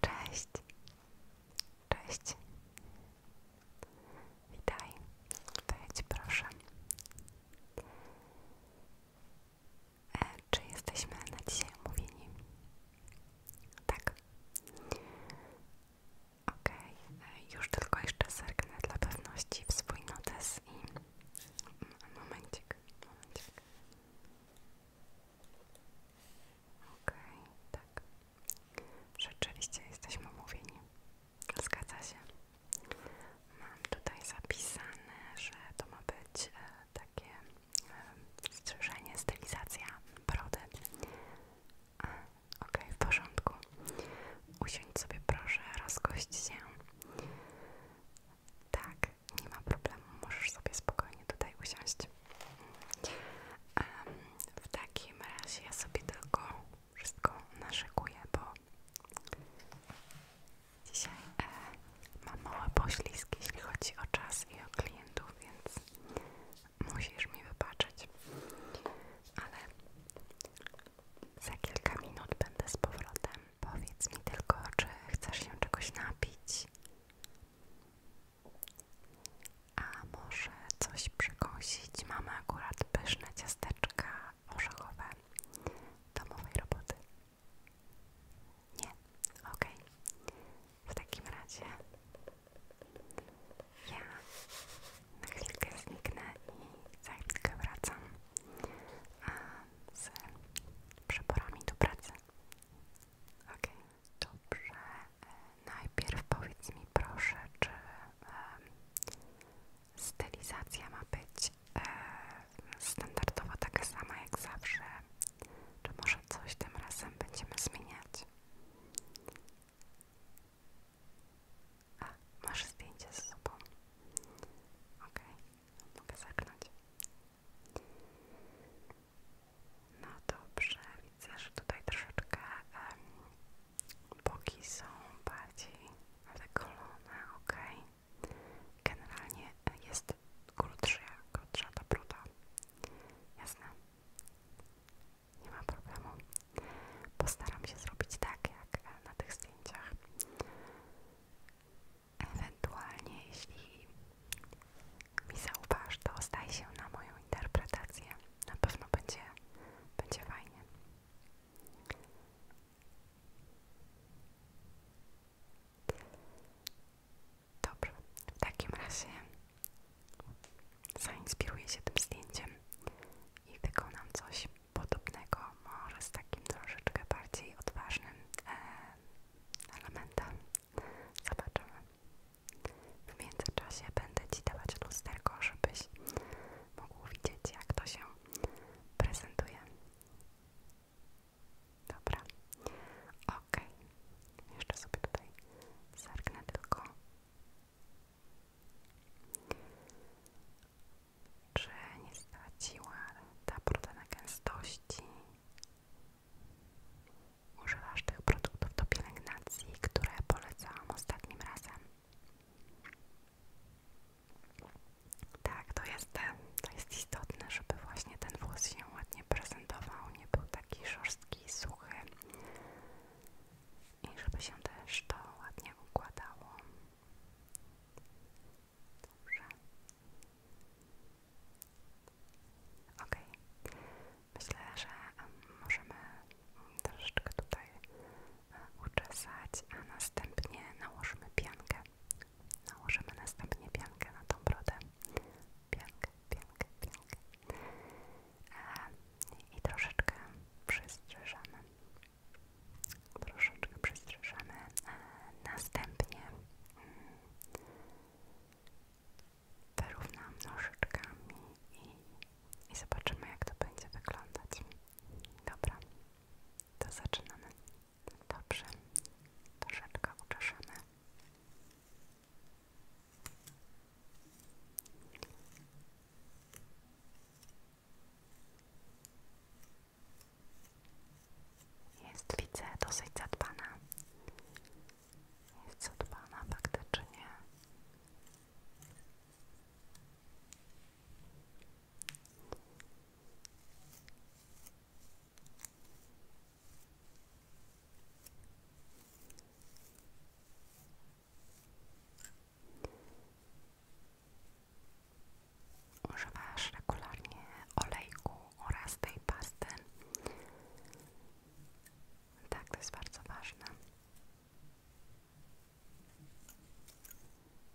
Cześć. Cześć. Witaj. Wejdź proszę. E, czy jesteśmy na dzisiaj umówieni? Tak. Ok, e, już tylko jeszcze zerknę dla pewności w swój notes i... Mm, momencik, momencik. Okej, okay, tak. Rzeczywiście jesteśmy umówieni. Zgadza się. Mam tutaj zapisane, że to ma być e, takie strzyżenie, stylizacja brody. Ok, w porządku. Usiądź sobie proszę, rozgość się. Tak, nie ma problemu, możesz sobie spokojnie tutaj usiąść. w takim razie ja sobie tylko wszystko naszykuję, bo Dzisiaj e, mam małe poślizgi, jeśli chodzi o czas i o klientów, więc musisz mi wybaczyć. Ale za kilka minut będę z powrotem. Powiedz mi tylko, czy chcesz się czegoś napić? A może coś przekąsić? Mamy akurat pyszne ciasteczka orzechowe domowej roboty. Nie, ok. W takim razie ja na chwilkę zniknę i za chwilkę wracam z przeporami do pracy. Ok, dobrze. Najpierw powiedz mi proszę, czy um, stylizacja ma być E, standardowo taka sama jak zawsze. Czy może coś tym razem będziemy zmieniać? A, masz zdjęcie z sobą. Okej, mogę zakląć. No dobrze, widzę, że tutaj troszeczkę um, boki są bardziej wykolone, ok. Generalnie jest krótsza, krótsza ta bruda. Jasne. Nie ma problemu. Postaram się zrobić tak, jak na tych zdjęciach. Ewentualnie, jeśli mi zauważ, to zdaj się na moją interpretację. Na pewno będzie, będzie fajnie. Dobrze, w takim razie zainspiruję się tym zdjęciem i wykonam coś podobnego, może z takim troszeczkę bardziej odważnym elementem. Zobaczymy. W międzyczasie będę Ci dawać lusterko, żebyś mógł widzieć, jak to się prezentuje. Dobra, ok. Jeszcze sobie tutaj zerknę tylko. Czy nie straciła ta na gęstości? Używasz tych produktów do pielęgnacji, które polecałam ostatnim razem? Tak, to jest, to jest istotne, żeby właśnie ten włos się ładnie prezentował, nie był taki szorstki, i suchy i żeby się też to ładnie układało. Dobrze. Ok. Myślę, że możemy troszeczkę tutaj e, uczesać, a następnie nałożymy piankę, Nałożymy następnie piankę na tą brodę. Piankę, piankę, piankę. E, I troszeczkę przystrzyżamy. Troszeczkę przystrzyżamy. E, następnie mm, wyrównamy nożyczkami i zobaczymy jak to będzie wyglądać. Dobra, to zaczynamy. Dobrze, troszeczkę uczeszemy. Jest, widzę, dosyć zadbana. Jest zadbana faktycznie. Używasz regularnie olejku oraz tej pasty. Tak, to jest bardzo ważne.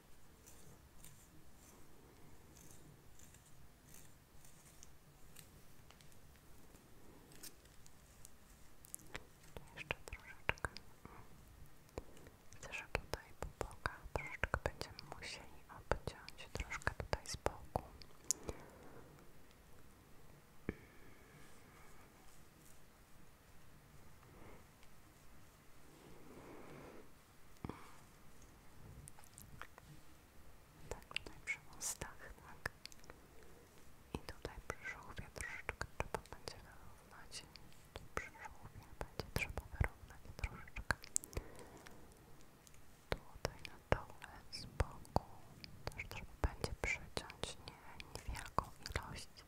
Jeszcze troszeczkę. Chcę, że tutaj po bokach troszeczkę będziemy musieli obciąć troszkę tutaj z boku. Tak, tutaj przy mostach, tak. I tutaj przy żółwie troszeczkę trzeba będzie wyrównać. Tu przy żółwie będzie trzeba wyrównać troszeczkę. Tutaj na dole, z boku też trzeba będzie przyciąć nie, niewielką ilość.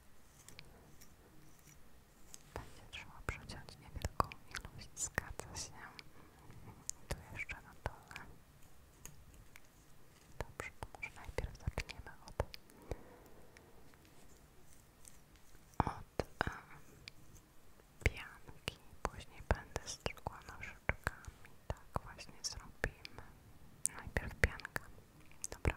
Będzie trzeba przeciąć niewielką ilość, zgadza się. Tu jeszcze na dole. Dobrze, to może najpierw zaczniemy od, od pianki. Później będę stukła nożyczkami. Tak właśnie zrobimy. Najpierw pianka. Dobra.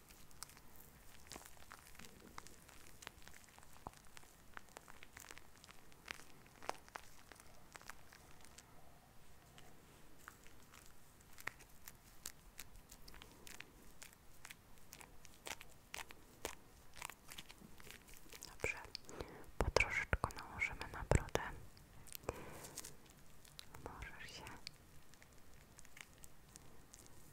Dobrze, po troszeczkę nałożymy na brodę. Możesz się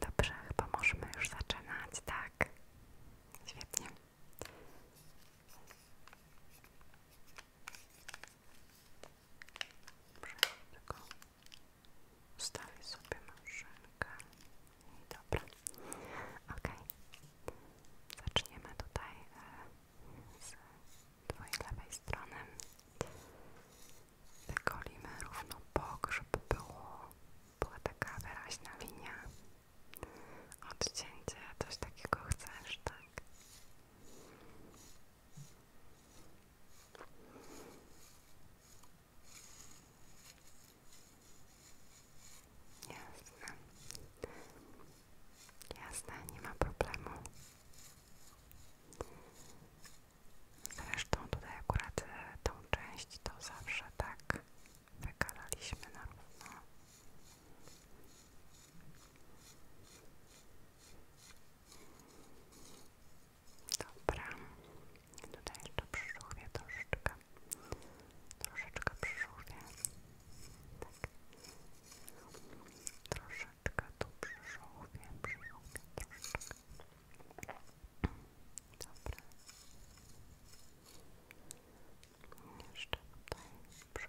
Dobrze, chyba możemy już zaczynać, tak? Świetnie. Dobrze, tylko ustawisz sobie maszynkę. I dobra. Ok. Zaczniemy tutaj e, z twojej lewej strony. Wygolimy równo bok, żeby było, była taka wyraźna linia. Odcięcie, coś takiego chcesz, tak? Jasne. Jasne, nie ma problemu. Zresztą tutaj akurat e, tą część to zawsze tak wykalaliśmy na równo. Dobra. Tutaj jeszcze przyżółwie troszeczkę. Troszeczkę przyżółwie. Tak. Troszeczkę tu przyżółwie, przyżółwie, troszeczkę. Dobra. Jeszcze tutaj przy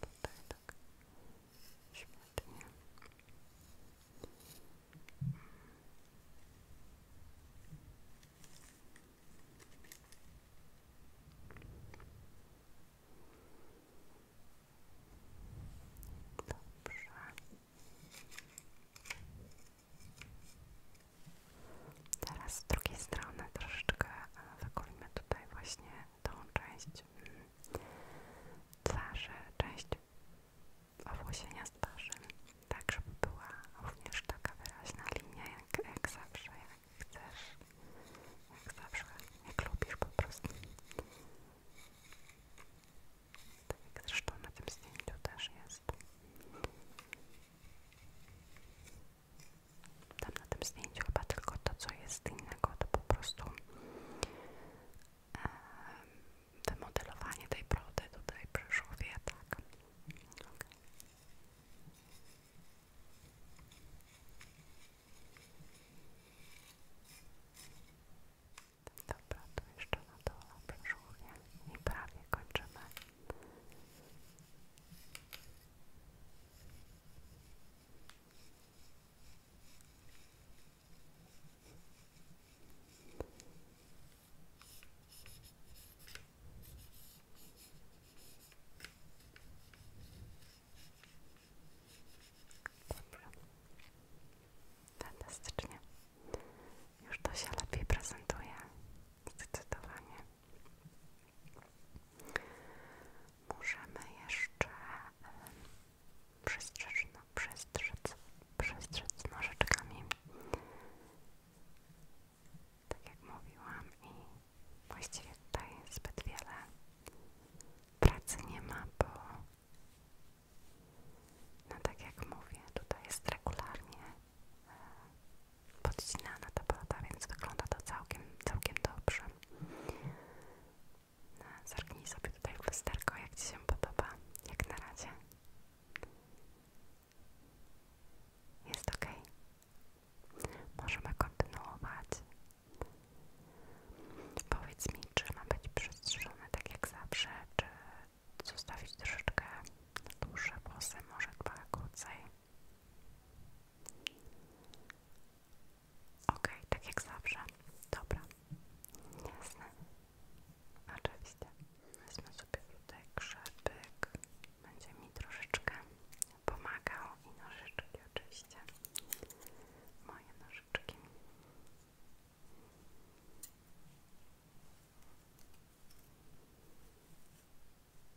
tutaj tak śmietnie Dobrze. Teraz z drugiej strony troszeczkę e, wykulimy tutaj właśnie tą część mm, twarzy, część owłosienia z twarzy, tak żeby była również taka wyraźna linia, jak, zawsze, jak chcesz, jak zawsze, jak lubisz po prostu. Tak jak zresztą na tym zdjęciu też jest. Tam na tym zdjęciu chyba tylko to, co jest innego, to po prostu e, wymodelowanie tej brody tej przyszowie, tak. Okay. Dobra, to jeszcze na dole brzuchnie i prawie kończymy. Dobra. Fantastycznie. Już to się lepiej prezentuje. Zdecydowanie. Możemy jeszcze przestrzec, no, przestrzec, przestrzec nożyczkami, tak jak mówiłam i właściwie tutaj zbyt wiele pracy nie ma, bo no tak jak mówię, tutaj jest regularnie podcinana ta paleta, więc wygląda to całkiem, całkiem dobrze. No, sobie tutaj w lusterko, jak Ci się podoba, jak na razie. Jest ok. Możemy kontynuować. Powiedz mi, czy ma być przestrzeżone tak jak zawsze, czy zostawić troszeczkę dłuższe włosy, może dwa krócej. OK, tak jak zawsze. Dobra. Jasne. Oczywiście. Wezmę sobie tutaj krzepyk. Będzie mi troszeczkę pomagał i nożyczki oczywiście. Moje nożyczki.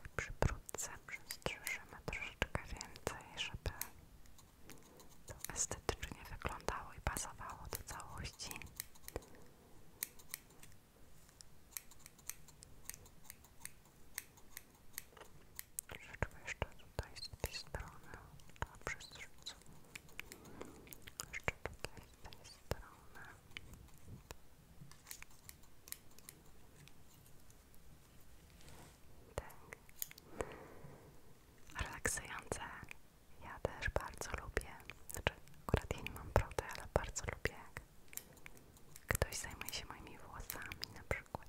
Tutaj przy brudce przystrzyżymy troszeczkę więcej, żeby to estetycznie wyglądało i pasowało do całości. Troszeczkę jeszcze tutaj z tej strony. Dobrze, zrzucę. Jeszcze tutaj z tej strony. Tak. Relaksujące. Ja też bardzo lubię. Znaczy, akurat ja nie mam brody, ale bardzo lubię jak ktoś zajmuje się moimi włosami na przykład.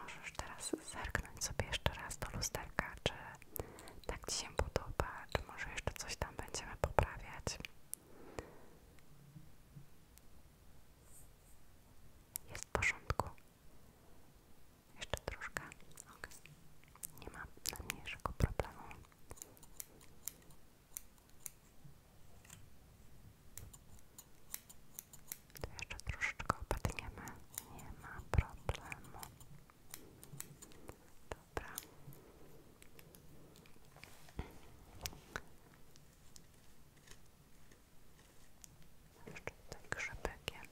Możesz teraz zerknąć sobie jeszcze raz do lusterka, czy tak Ci się podoba, czy może jeszcze coś tam będziemy poprawiać. Jest w porządku. Jeszcze troszkę. Okay. Nie ma najmniejszego problemu. To jeszcze troszeczkę opadniemy. Nie ma problemu. Dobra. Jeszcze tutaj grzebekiem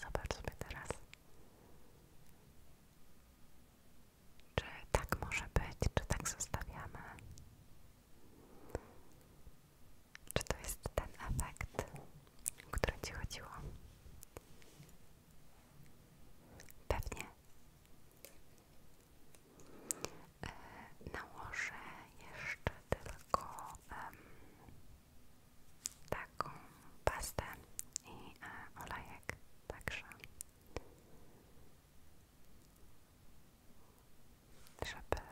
Zobacz sobie teraz. Czy tak może być? Czy tak zostawiamy? Czy to jest ten efekt, o który Ci chodziło? Pewnie. E, nałożę jeszcze tylko um, taką pastę i e, olejek, także żeby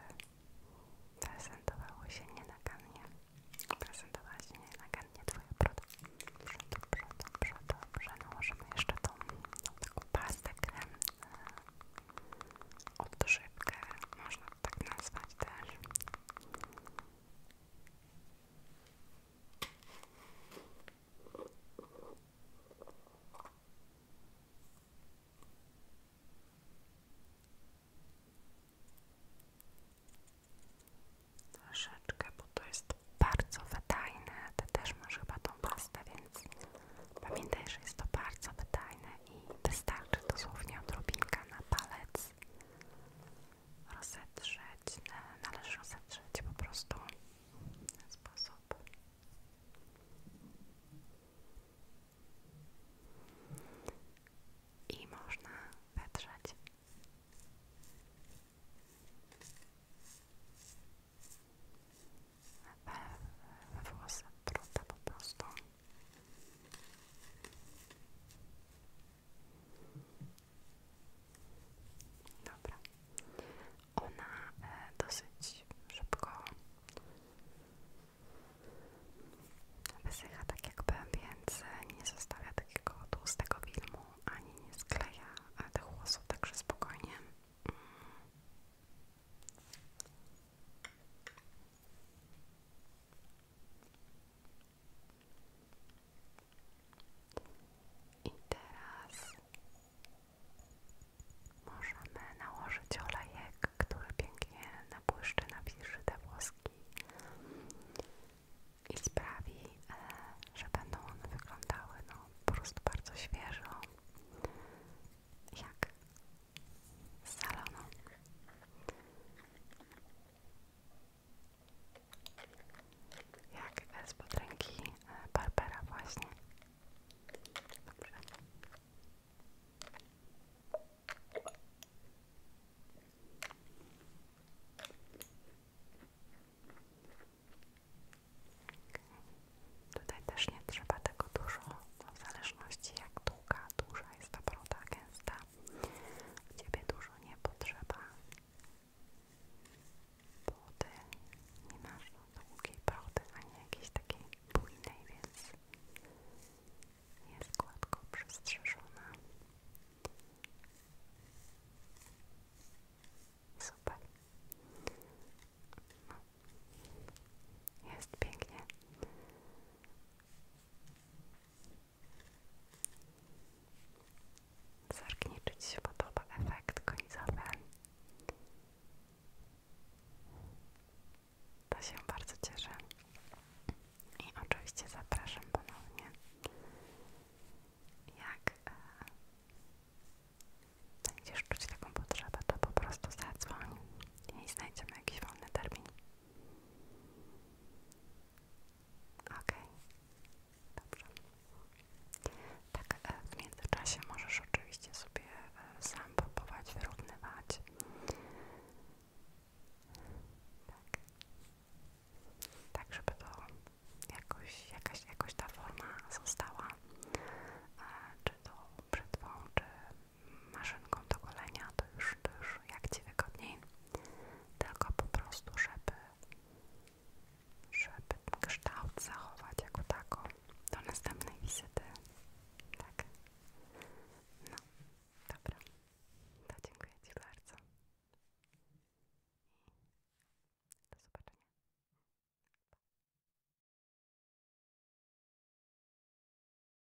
prezentowało się nienagannie prezentowała się nienagannie Twoja broda dobrze, dobrze, dobrze, dobrze nałożymy no, jeszcze tą taką pastę krem e, odżywkę można tak nazwać też. Troszeczkę, bo to jest bardzo wydajne. Ty też masz chyba tą pastę, więc pamiętaj, że jest to bardzo wydajne i wystarczy dosłownie odrobinka na palec teraz rozetrzeć, należy rozetrzeć po prostu sposób. I można wetrzeć. We, we włosy po prostu. Dobra. Ona e, dosyć szybko wysycha tak jakby, więc nie zostawia takiego tłustego filmu, ani nie skleja tych włosów, także spokojnie. Mm. I teraz możemy nałożyć olejek, który pięknie napłyszczy, nawilży te włoski i sprawi, e, że będą one wyglądały no, po prostu bardzo świeżo, jak salonu. Jak z e, Barbera właśnie. Tutaj też nie trzeba tego dużo, w zależności jak długa, duża jest ta broda, gęsta. Ciebie dużo nie potrzeba, bo nie masz długiej pałty ani jakiejś takiej bujnej, więc jest gładko przystrzeżona. Super. No. Jest pięknie. Zerknij, czy Ci się podoba efekt końcowy. To się bardzo cieszę. I oczywiście zapraszam ponownie. Jak e, będziesz czuć taką potrzebę, to po prostu zadzwoń i znajdziemy jakiś wolny termin. OK, dobrze. Tak, e, w międzyczasie możesz oczywiście sobie e, sam próbować wyrównywać. Tak. Tak, żeby to jakoś, jakaś, jakoś ta forma została, e, czy to brzytwą, czy maszynką do golenia, to już, już jak Ci wygodniej, tylko po prostu, żeby, żeby kształt zachować jako tako do następnej wizyty, tak? No, dobra, to dziękuję Ci bardzo i do zobaczenia.